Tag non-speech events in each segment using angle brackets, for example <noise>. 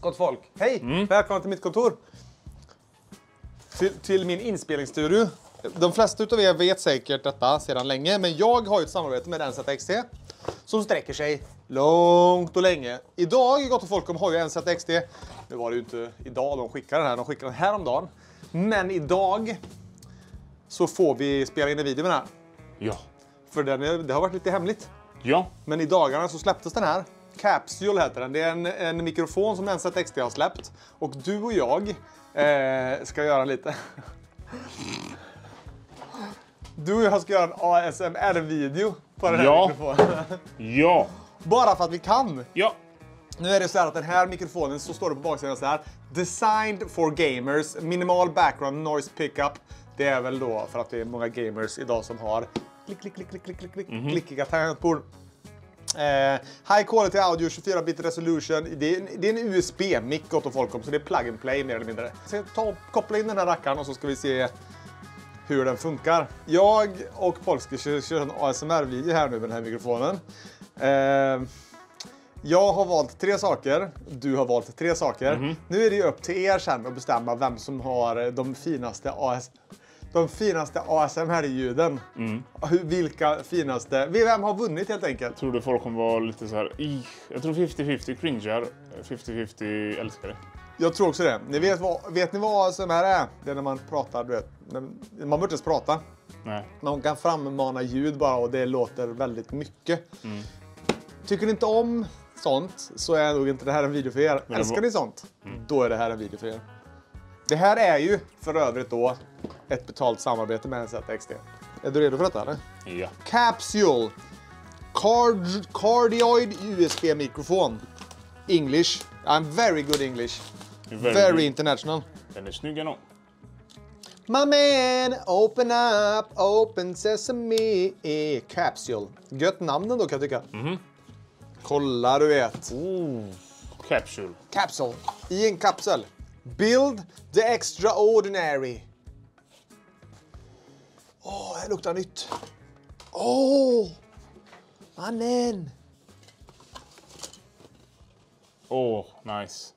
Gott folk. Hej! Mm. Välkomna till mitt kontor. Till, till min inspelningsstudio. De flesta av er vet säkert detta sedan länge, men jag har ju ett samarbete med NZXT som sträcker sig långt och länge idag, Gott och Folkom har ju en ZXT. Nu var det ju inte idag de skickade den här, de skickade den häromdagen. Men idag så får vi spela in en video med den här. Ja. För den, är, det har varit lite hemligt. Ja. Men i dagarna så släpptes den här. Capsule heter den. Det är en, en mikrofon som nz XT har släppt. Och du och jag eh, ska göra lite... <laughs> du och jag ska göra en ASMR-video på den här ja. mikrofonen. ja. Bara för att vi kan. Ja. Nu är det så här att den här mikrofonen, så står det på baksidan så här. Designed for gamers, minimal background noise pickup. Det är väl då för att det är många gamers idag som har klick, klick, klick, klick, klick, klick, mm -hmm. klickiga tangentbord. Eh, high quality audio, 24-bit resolution. Det är, det är en USB-mick gott folk om, så det är plug and play mer eller mindre. Så ta och koppla in den här rackaren och så ska vi se hur den funkar. Jag och Polski kör, kör en ASMR-video här nu med den här mikrofonen. Eh, jag har valt tre saker, du har valt tre saker. Mm -hmm. Nu är det ju upp till er sen att bestämma vem som har eh, de finaste AS de finaste ASMR-ljuden. Mm. Vilka finaste... Vem har vunnit helt enkelt? Tror du folk kommer vara lite så här... Jag tror 50-50 cringear, 50-50 älskar det. Jag tror också det. Ni vet, vad, vet ni vad ASMR är? Det är när man pratar, du vet, man behöver inte ens prata. Nej. Men kan frammana ljud bara och det låter väldigt mycket. Mm. Tycker ni inte om sånt så är nog inte det här en video för er. Men Älskar ni sånt, mm. då är det här en video för er. Det här är ju för övrigt då ett betalt samarbete med NZ XT. Är du redo för detta eller? Ja. Capsule. Card Cardioid USB-mikrofon. English. I'm very good English. very, very good. international. Den är snygg ändå. My man, open up, open sesame eh, capsule. Gött namn då kan jag tycka. Mm. Kolla du vet. Ooh. Capsule. Capsule. I en kapsel. Build the extraordinary. Åh, oh, här luktar nytt. Åh! Oh, mannen! Åh, oh, nice.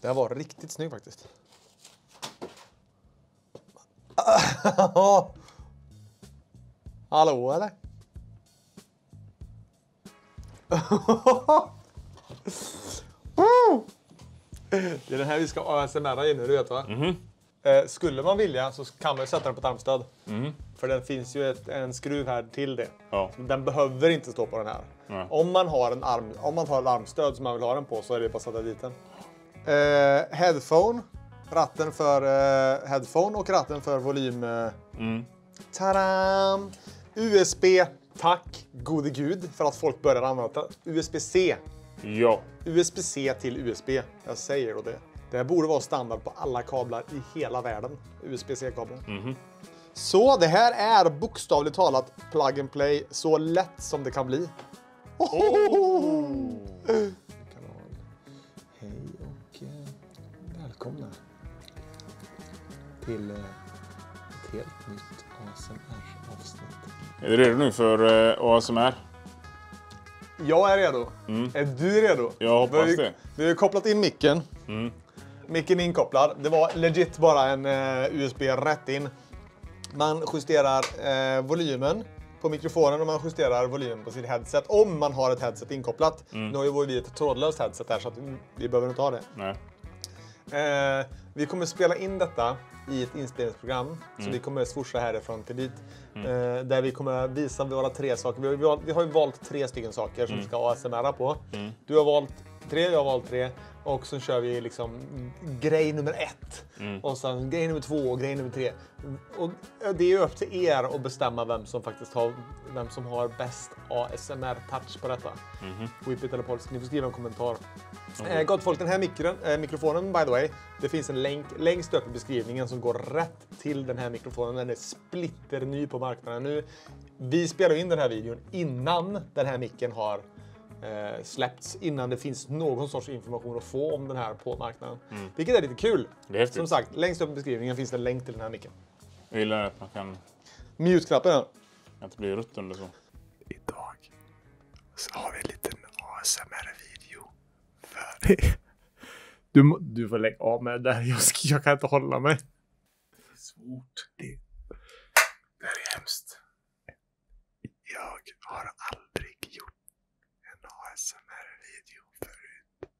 Det här var riktigt snygg faktiskt. <laughs> Hallå eller? <laughs> Det är den här vi ska ASMRa i nu, du vet va? Mm -hmm. skulle man vilja så kan man ju sätta den på ett armstöd. Mm. För den finns ju ett, en skruv här till det. Ja. Den behöver inte stå på den här. Nej. Om man har en arm, om man har ett armstöd som man vill ha den på så är det bara att sätta dit den. Eh, headphone. Ratten för eh, headphone och ratten för volym. Eh. Mm. Tadam! USB. Tack gode gud för att folk börjar använda USB-C. Ja. USB-C till USB. Jag säger då det. Det här borde vara standard på alla kablar i hela världen. USB-C-kablar. Mm. Så det här är bokstavligt talat plug and play så lätt som det kan bli. Oh! Hej och eh, välkomna till eh, ett helt nytt ASMR-avsnitt. Är du redo nu för eh, ASMR? Jag är redo. Mm. Är du redo? Jag hoppas vi, det. Vi har kopplat in micken. Mm. Micken är inkopplad. Det var legit bara en uh, eh, USB rätt in. Man justerar uh, volymen på mikrofonen och man justerar volymen på sitt headset om man har ett headset inkopplat. Mm. Nu har ju vi ett trådlöst headset här så att vi behöver inte ha det. Nej. Eh, vi kommer spela in detta i ett inspelningsprogram, mm. så vi kommer swosha härifrån till dit. Mm. Eh, där vi kommer visa våra tre saker. Vi har, vi har, ju valt tre stycken saker som mm. vi ska ASMR på. Mm. Du har valt tre, jag har valt tre. Och så kör vi liksom grej nummer ett. Mm. Och sen grej nummer två och grej nummer tre. Och eh, det är ju upp till er att bestämma vem som faktiskt har, vem som har bäst ASMR-touch på detta. Mm Whippet eller polsk. Ni får skriva en kommentar. Mm. gott folk, den här mikron, eh, mikrofonen by the way. Det finns en länk längst upp i beskrivningen som går rätt till den här mikrofonen. Den är splitterny på marknaden nu. Vi spelar in den här videon innan den här micken har eh, släppts innan det finns någon sorts information att få om den här på marknaden. Mm. Vilket är lite kul. Är Som sagt, längst upp i beskrivningen finns det en länk till den här micken. Jag gillar att man kan... Mute-knappen. Att det blir rött under så. Idag så har vi en liten ASMR-video för er. Du, du får lägga av med det där. Jag, jag kan inte hålla mig. Det är svårt. Det, det är hemskt. Jag har aldrig gjort en ASMR-video förut.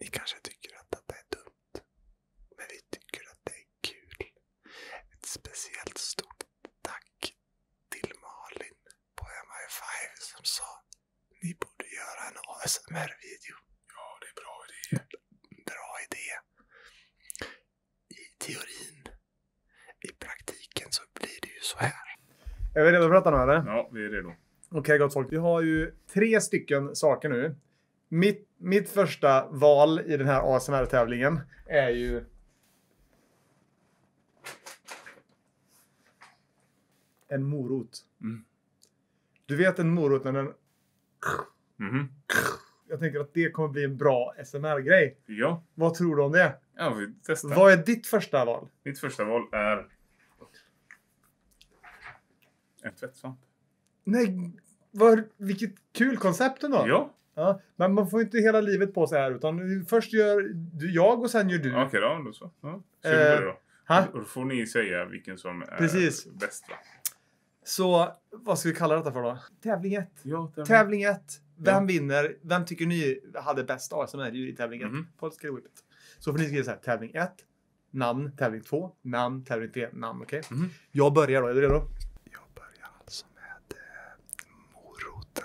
Ni kanske tycker att detta är dumt. Men vi tycker att det är kul. Ett speciellt stort tack till Malin på MI5 som sa ni borde göra en ASMR-video. Ja, det är bra idé. Bra idé. I teorin. I praktiken så blir det ju så här. Är vi redo att prata nu eller? Ja, vi är redo. Okej okay, gott folk, vi har ju tre stycken saker nu. Mitt, mitt första val i den här ASMR-tävlingen är ju en morot. Mm. Du vet en morot när den... Mm. Jag tänker att det kommer bli en bra SMR-grej. Ja. Vad tror du om det? Ja, vi testar. Vad är ditt första val? Mitt första val är... En tvättsvamp. Nej, vad, vilket kul koncept ändå. Ja. ja men man får inte hela livet på sig här utan först gör jag och sen gör du. Okej okay, då, då så. Ja. eh, då. Ha? Då får ni säga vilken som är Precis. bäst. Va? Så vad ska vi kalla detta för då? Tävling 1. Ja, tävling 1. Vem ja. vinner? Vem tycker ni hade bäst ASMR i tävlingen? 1? Mm. På Skridskrivet. Så får ni skriva så här, tävling 1, namn, tävling 2, namn, tävling 3, namn. Okej? Okay? Mm. Jag börjar då. Är du redo? Jag börjar alltså med eh, moroten.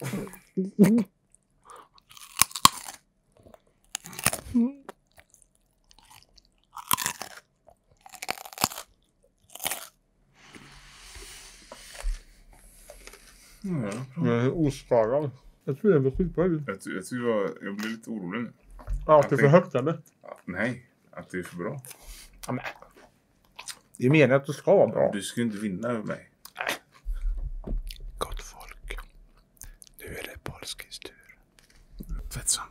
Mm. Mm. Mm, jag är oskadad. Jag tror det var skitbra ljud. Jag, jag, tycker jag, jag lite orolig nu. Ja, att det är för högt eller? Nej, att det är för bra. Ja, men. Det är meningen att du ska vara bra. Du ska ju inte vinna över mig. Nej. Gott folk. Nu är det Polskis tur. Fettsvamp.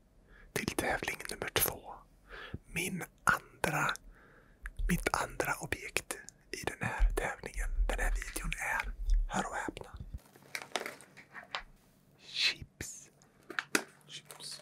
till tävling nummer två. Min andra, mitt andra objekt i den här tävlingen, den här videon är, hör och häpna, chips. chips.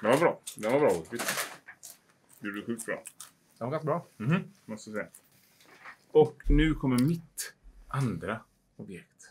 Den var bra. Den var bra Det Gjorde du sjukt bra. Den var ganska bra. Mhm, måste säga. Och nu kommer mitt andra objekt.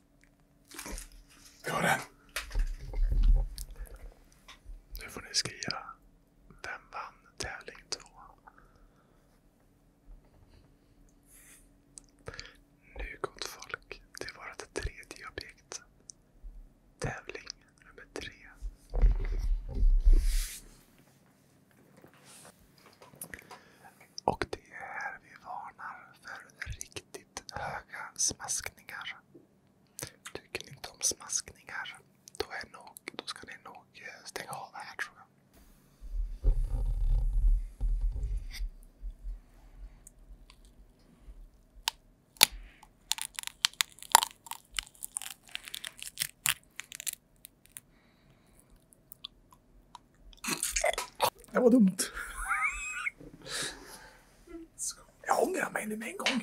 det! Nu får ni skriva. Vem vann tävling två? Nu gott folk till vårt tredje objekt. Tävling nummer tre. Och det är här vi varnar för riktigt höga smaskningar. Tycker ni inte om smaskningar, då, är nog, då ska ni nog eh, stänga av det här tror jag. Det var dumt. Jag ångrar mig nu med en gång.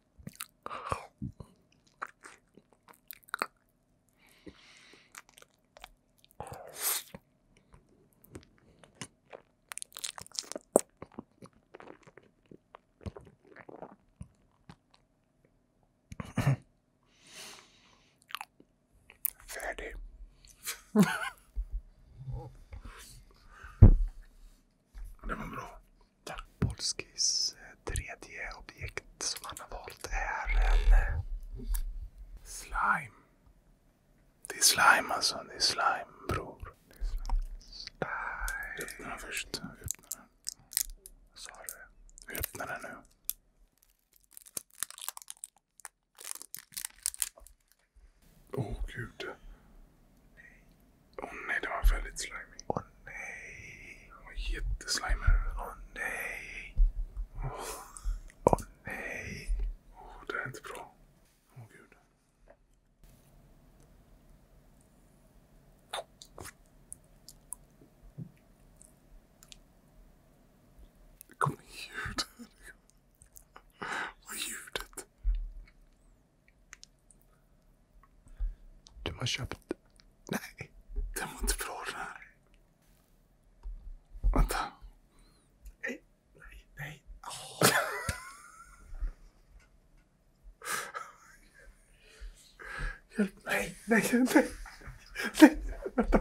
Färdig. <laughs> Det var bra. Polskis eh, tredje objekt som han har valt är en... Eh, slime. Det är slime alltså. Det är slime bror. Det är slime. Öppna den först. Öppna den. Vad sa du? Öppna den nu. Åh oh, gud. Nej. Åh oh, nej, det var väldigt slimy. Åh oh, nej. Det var jätteslimy. Åh oh, nej. Åh oh. nej. Åh, oh, det är inte bra. Åh gud. Det kommer ljud. Vad är ljudet? Du har köpt... Nej. Den var inte bra den här. Vänta. Nej, nej, nej. Oh. Hjälp mig. Nej, nej, nej. nej. Vänta.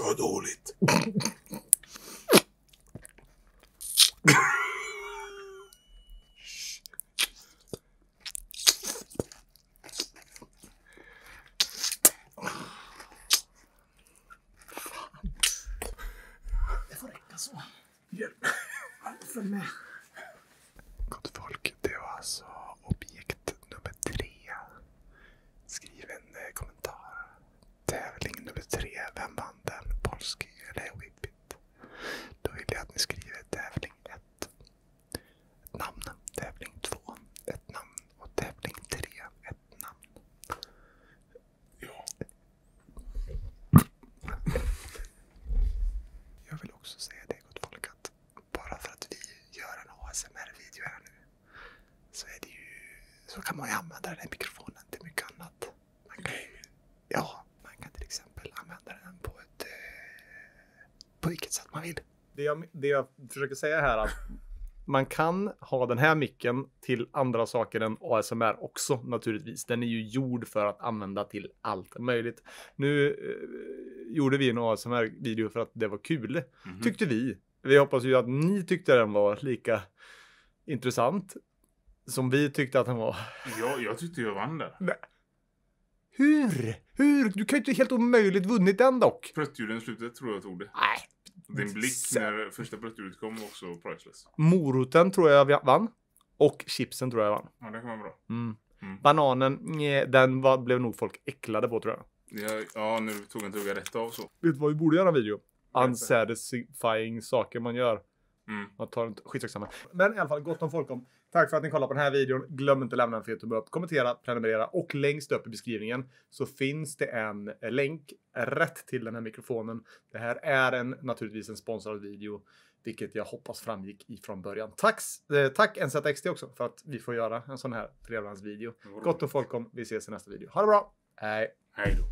Vad dåligt. Det får räcka så. Hjälp. För mig. Gott folk, det var så objekt nummer tre. Skriv en eh, kommentar. Tävling nummer tre. Vem vann den? Polski eller Whippit? Då vill jag att ni skriver tävling ett. namn. Tävling två. Ett namn. Och tävling tre. Ett namn. Jag vill också säga det gott folk att bara för att vi gör en ASMR-video här nu så, är det ju, så kan man ju använda den här mikrofonen till mycket annat. Man kan, ja, man kan till exempel använda den på, ett, eh, på vilket sätt man vill. Det jag, det jag försöker säga här är att man kan ha den här micken till andra saker än ASMR också naturligtvis. Den är ju gjord för att använda till allt möjligt. Nu eh, gjorde vi en ASMR-video för att det var kul. Mm Tyckte vi. Vi hoppas ju att ni tyckte den var lika intressant som vi tyckte att den var. Ja, jag tyckte jag vann där. Nej. Hur? Hur? Du kan ju inte helt omöjligt vunnit den dock. Pruttljuden i slutet tror jag tog det. Nej. Din blick när första pruttljudet kom var också priceless. Moroten tror jag vann. Och chipsen tror jag vann. Ja, det kan vara bra. Mm. Mm. Bananen, nej, den var, blev nog folk äcklade på tror jag. Jag, ja, nu tog jag en tugga rätt av så. Vet du vad vi borde göra video? Unsatisfying saker man gör. Mm. Man tar inte, skitsamma. Men i alla fall, gott om folk om. Tack för att ni kollade på den här videon. Glöm inte att lämna en fet tumme upp, kommentera, prenumerera och längst upp i beskrivningen så finns det en länk rätt till den här mikrofonen. Det här är en, naturligtvis en sponsrad video, vilket jag hoppas framgick ifrån början. Tack eh, tack NZXT också för att vi får göra en sån här trevlandsvideo. Gott om folkom. Vi ses i nästa video. Ha det bra! Hej! Hej då!